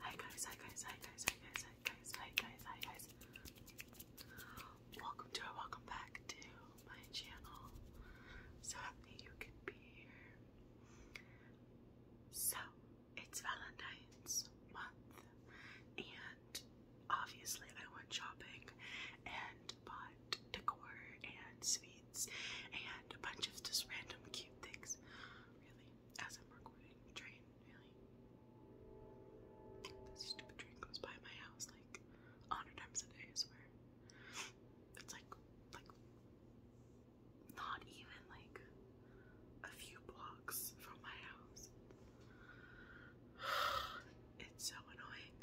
Hi guys, hi guys, hi guys, hi guys, hi guys, hi guys, hi guys. Welcome to welcome back to my channel. So happy you can be here. So it's Valentine's month and obviously I went shopping and but decor and sweets and a bunch of just random cute things. Really, as I'm recording, train really. This stupid train goes by my house like a hundred times a day. I swear, it's like like not even like a few blocks from my house. It's so annoying.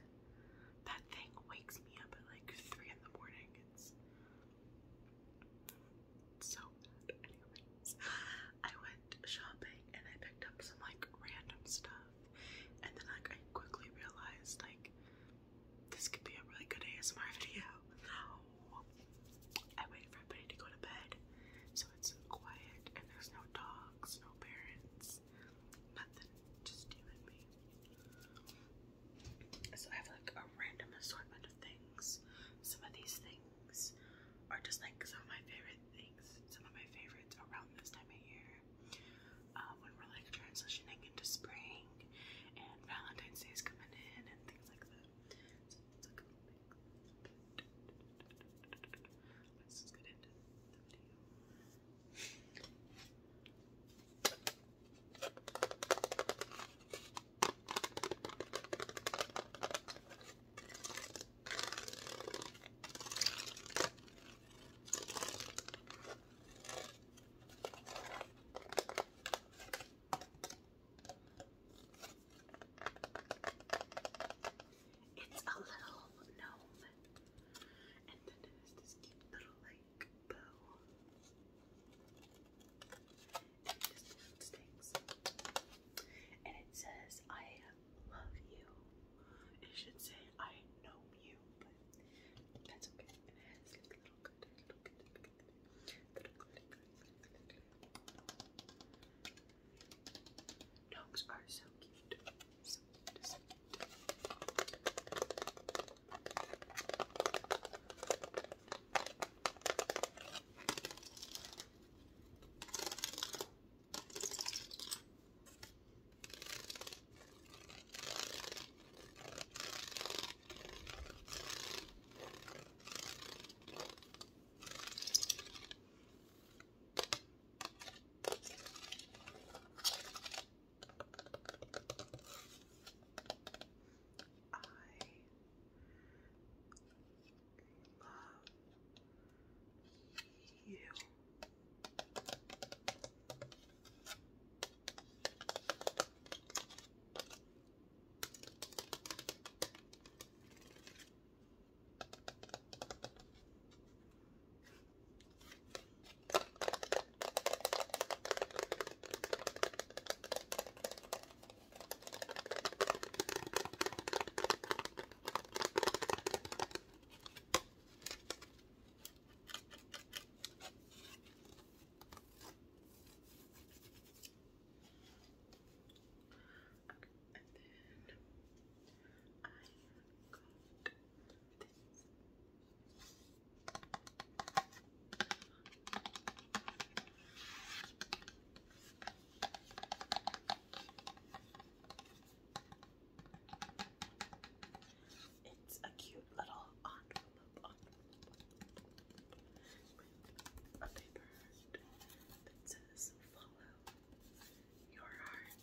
That thing wakes me up at like three in the morning. It's so bad. Anyways, I went shopping and I picked up some like random stuff, and then like I quickly realized like this could be a really good ASMR video. I waited for everybody to go to bed, so it's quiet and there's no dogs, no parents, nothing, just you and me. So I have like a random assortment of things. Some of these things are just like some of my favorite things, some of my favorites around this time of year. when we're like transitioning into spring and Valentine's Day is coming in and things like that. Let's get into the video. It's a little gnome. And then it has this cute little like bow. And this one sticks. And it says, I love you. It should say, I know you, but that's okay. And it has like little good, little good, little good, little good, little good, little good, little good, little good. Dogs are so cute. so cute. I love you. I Okay, and then I it's a cute little envelope with a paper that says follow your heart.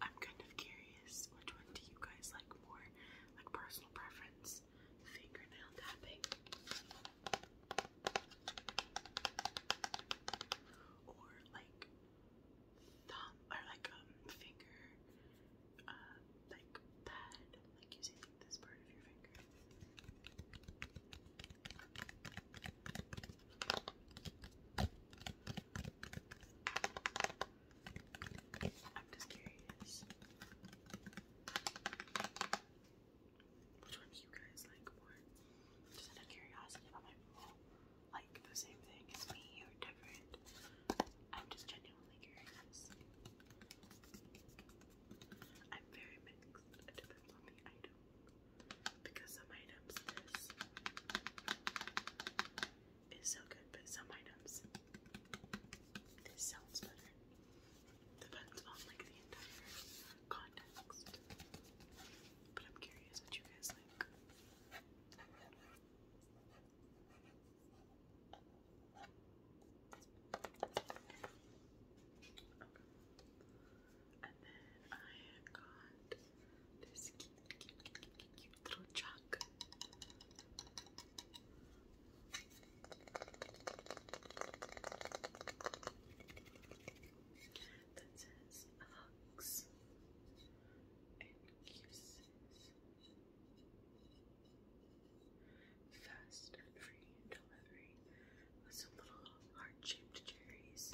I'm kind of curious which one do you guys like more? Like personal preference? Fingernail tapping? Or like thumb or like um finger uh like pad, like using this I'm just curious. Which one you guys like more? Just out of curiosity, about my people like the same thing as me or different. I'm just genuinely curious. I'm very mixed. It depends on the item. Because some items this is so good, but some items this sounds better. Depends on like the entire context. But I'm curious what you guys like. And then I got this cute, cute, cute, cute, little truck. That says hugs and kisses. Fast and free delivery with some little heart-shaped cherries.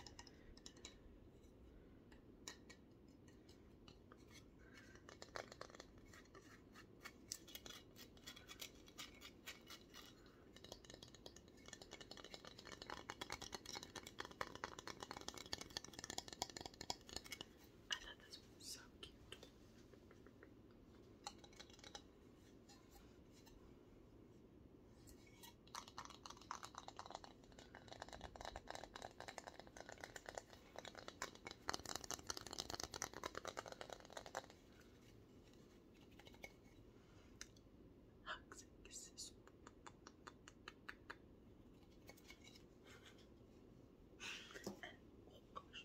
I thought this was so cute. Hugs and kisses. and, oh gosh,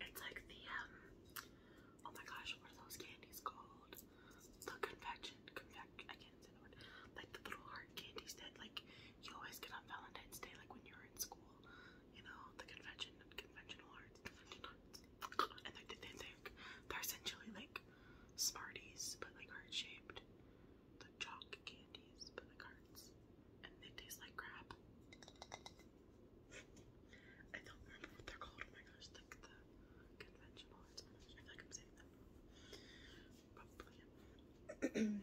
It's like the um oh my gosh, what are those candies called? The confection, confection. I can't say the word. Like the little hard candies that like you always get on Valentine's Day, like when you're in school. You know, the convention, conventional arts, convention arts. And like they, they, they're essentially like Smarties, but like heart shaped. The chalk candies, but like hearts. And they taste like crap. I don't remember what they're called. Oh my gosh, like the conventional hearts. I feel like I'm saying that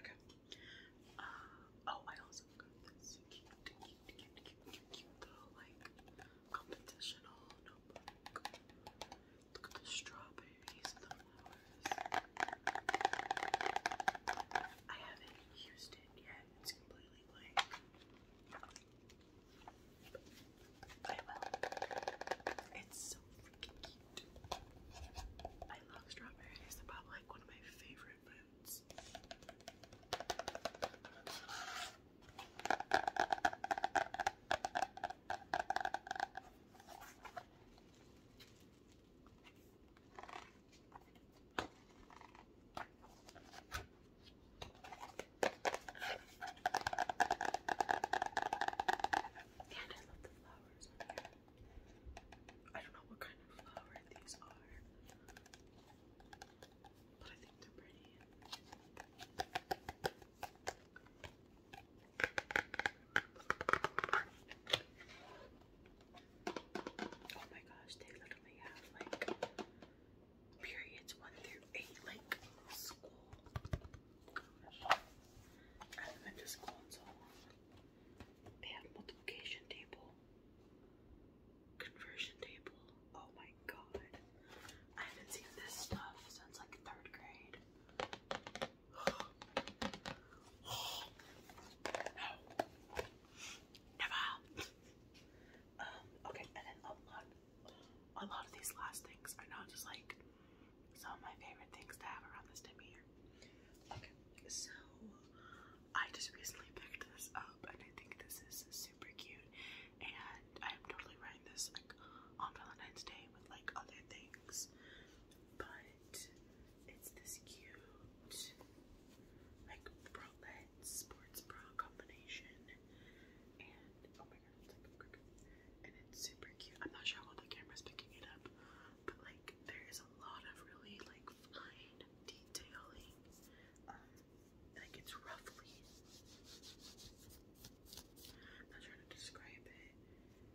okay. Uh, oh, I also got this cute, like competitional notebook. Look at the strawberries, the flowers. I haven't used it yet. It's completely blank. I will. It's so freaking cute. I love strawberries. It's about like one of my favorite foods. And I love the flowers on here. I don't know what kind of flower these are. Oh my gosh, they literally have like periods one through eight, like school. Gosh. I haven't been They have multiplication table, conversion table. Oh my god. I haven't seen this stuff since like third grade. Never. Um, okay, and then a lot a lot of these last things are now just like some of my favorite things to have around this time of year. Okay, so I just recently picked this up and I think this is super cute and I am totally right this like on Valentine's Day with like other things, but it's this cute like bralette sports bra combination, and oh my god, and it's super cute. I'm not sure how well the camera's picking it up, but like there is a lot of really like fine detailing um, it's roughly. not trying to describe it,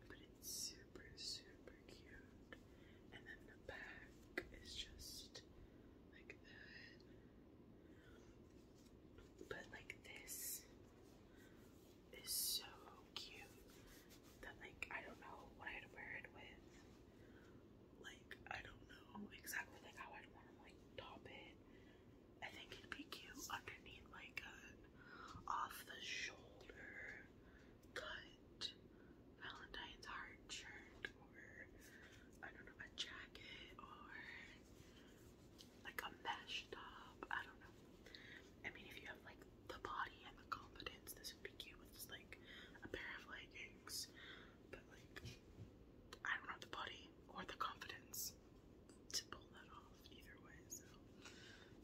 but it's super, super cute. And then the back is just like that. But like this is so cute that like I don't know what I'd wear it with. Like I don't know exactly like how I'd want to like top it I think it'd be cute underneath like a off-the-shoulder cut Valentine's heart shirt or I don't know, a jacket or like a mesh top. I don't know. I mean if you have like the body and the confidence, this would be cute with just like a pair of leggings. But like I don't have the body or the confidence to pull that off either way. So,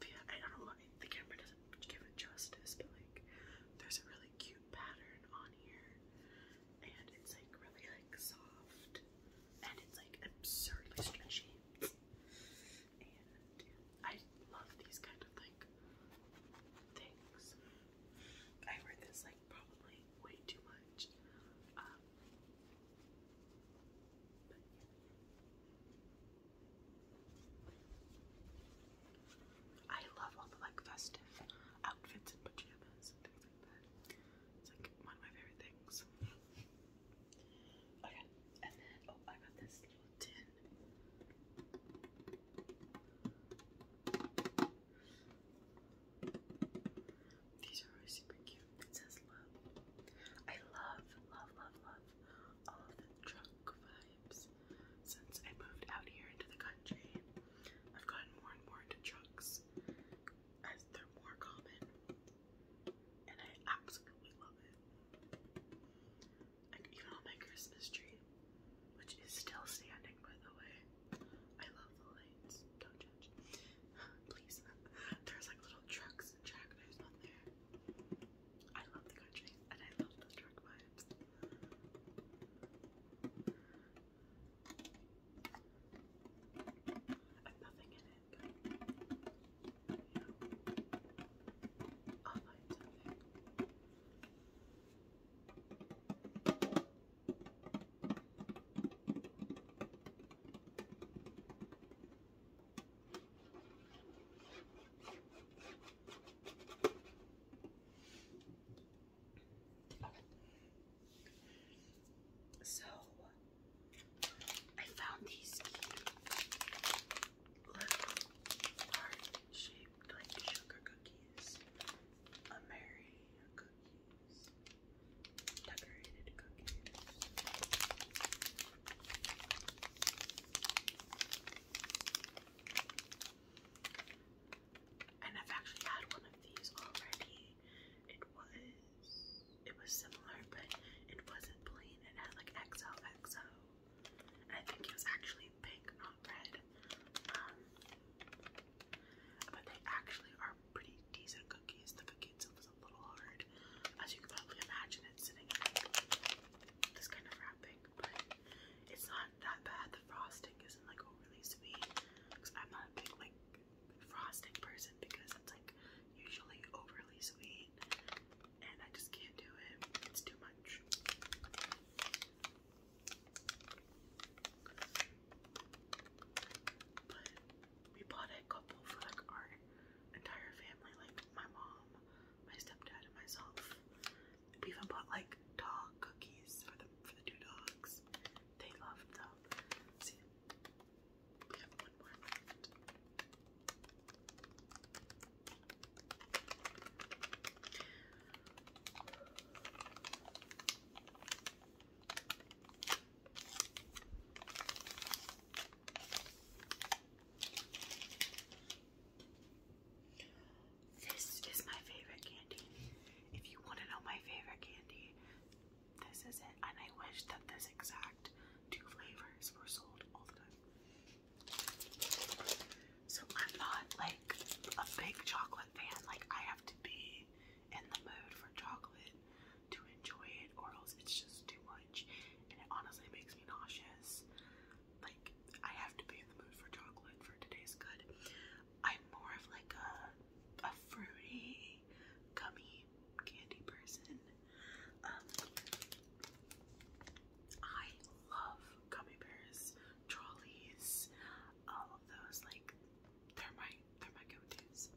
yeah, I don't know the camera does give it justice, but like, there's a really cute pattern on here, and it's like really like soft, and it's like absurdly stretchy. And I love these kind of like things. I wear this like like probably way too much. Um, I love all the like festive outfits and pajamas It's like one of my favorite things. Okay, and then oh, I got this little tin. These are super cute. It says love. I love, love, love, love all of vibes. Since I moved out here into the country, I've gotten more and more into trunks as they're more common. And I absolutely love it. Like even on my Christmas tree, which is still standing by the way. I love the lights. Don't judge. Please. There's like little trucks and tractors on there. I love the country and I love the truck vibes. I'm nothing in it, but you know, oh, i so I found these cute little heart shaped like sugar cookies. Ameri cookies, decorated cookies. And I've actually had one of these already. It was it was similar, but it wasn't plain. It had like XOXO. And I think it was actually pink on bread. Um, but they actually are pretty decent cookies. The cookie itself is a little hard, as you can probably imagine it sitting in this kind of wrapping, but it's not that bad. The frosting isn't like overly sweet. Cause I'm not a big like frosting person because it's like usually overly sweet and I just can't do it. It's too much. But we bought a couple for like our entire family, like my mom, my stepdad, and myself. We even bought like dog cookies for the for the two dogs. They loved them. See, we have one more this is my favorite candy. If you want to know my favorite candy, this is it. And I wish that this exact two flavors were sold all the time. So I'm not like a big chocolate fan. Like I have to be in the mood for chocolate to enjoy it, or else it's just too much, and it honestly makes me nauseous. Like I have to be in the mood for chocolate for today's good. I'm more of like a a fruity, gummy candy person. Um, I love gummy bears trolleys, all of those. Like they're my they're my go-to's.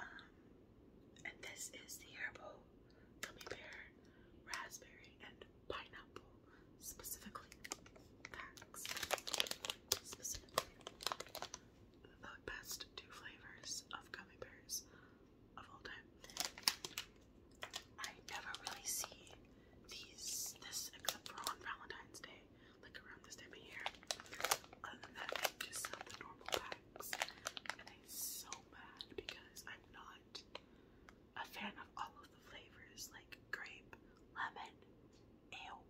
Um, and this is the herbal gummy bear, raspberry, and pineapple specifically. Packs specifically the best two flavors of gummy bears of all time. I never really see these this except for on Valentine's Day, like around this time of year. that, just sell the normal packs. And I'm so mad because I'm not a fan of all of the flavors, like grape, lemon, ale.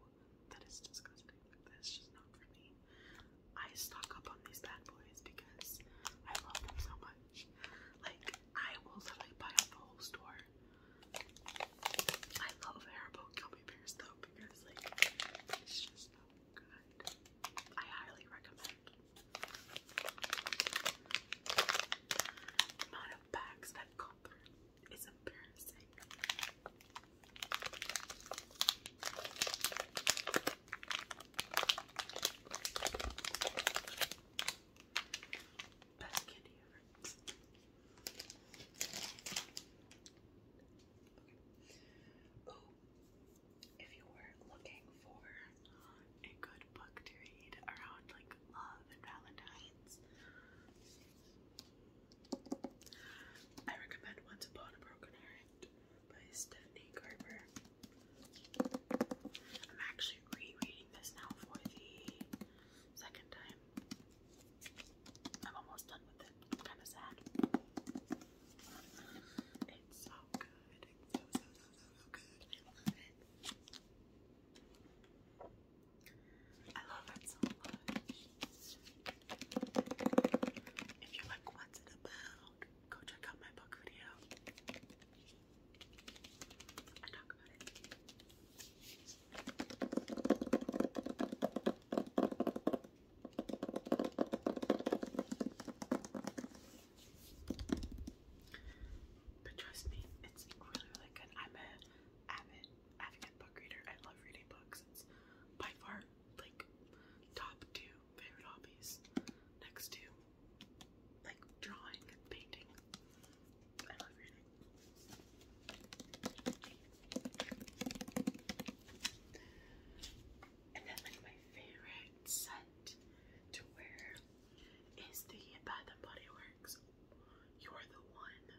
That is disgusting. That's just not for me. I stock up on these bad boys because I love them so much much. Like, I will like buy up the whole store. I love Haribo gummy bears though because like it's just so good. I highly recommend. amount of bags that go through is embarrassing. Best candy ever. Okay. Oh, if you were looking for a good book to read around like love and Valentine's, I recommend Once Upon a Broken Heart by Stephanie Garber. I'm actually rereading this now for the second time. I'm almost done with it. kind of sad. It's so good. It's so, good. I love it. so much. If you like, what's it about? Go check out my book video and talk about it. But trust me, it's really, really good. I'm a avid, avid book reader. I love reading books. It's by far like top two favorite hobbies. Next to like drawing painting. I love reading. And then like my favorite scent to wear is the Bath and Body Works You're the One.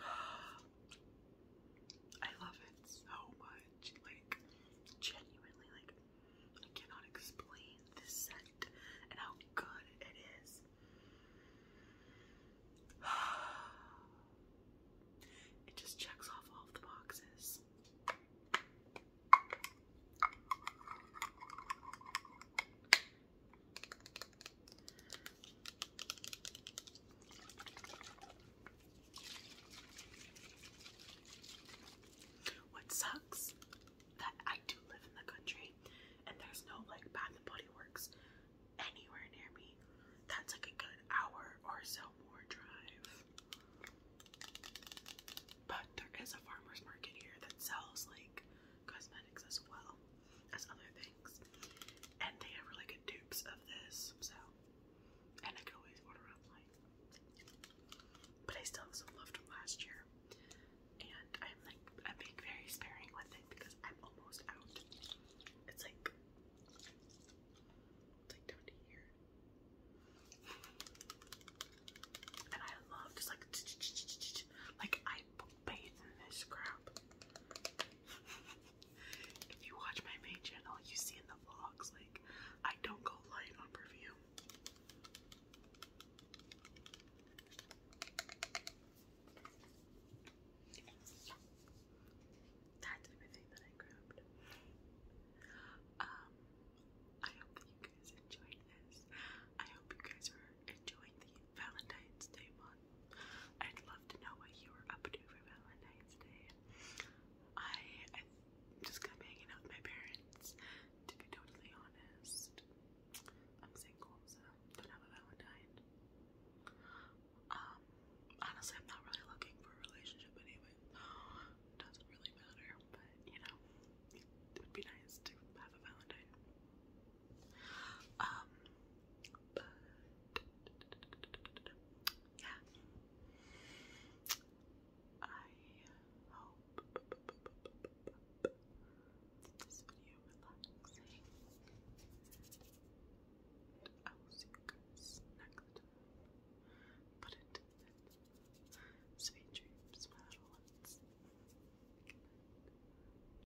I love it so much. Like, genuinely, like, I cannot explain the scent and how good it is. It just checks off all the boxes. What sucks that I do live in the country and there's no like Bath and Body Works anywhere near me. That's like a good hour or so more drive. But there is a farmer's market here that sells like cosmetics as well as other things. And they have really good dupes of this, so. And I could always order online. But I still have some left from last year. And I'm like, I'm being very sparing with it because I'm almost out. It's like, it's like down to here. And I love just like, like I bathe in this crap. if you watch my main channel, you see in the vlogs, like, I don't go light on perfume. That's everything that I grabbed. Um, I hope you guys enjoyed this. I hope you guys are enjoying the Valentine's Day month. I'd love to know what you were up to for Valentine's Day. I, just got hanging out with my parents, to be totally honest. I'm single, so don't have a Valentine. Um, honestly, I'm not really looking for a relationship anyway. Doesn't really matter, but you know, it would be nice to have a Valentine. Um, but yeah, I hope this video relaxing. I will see you guys next time. But until then, sweet dreams, my little ones.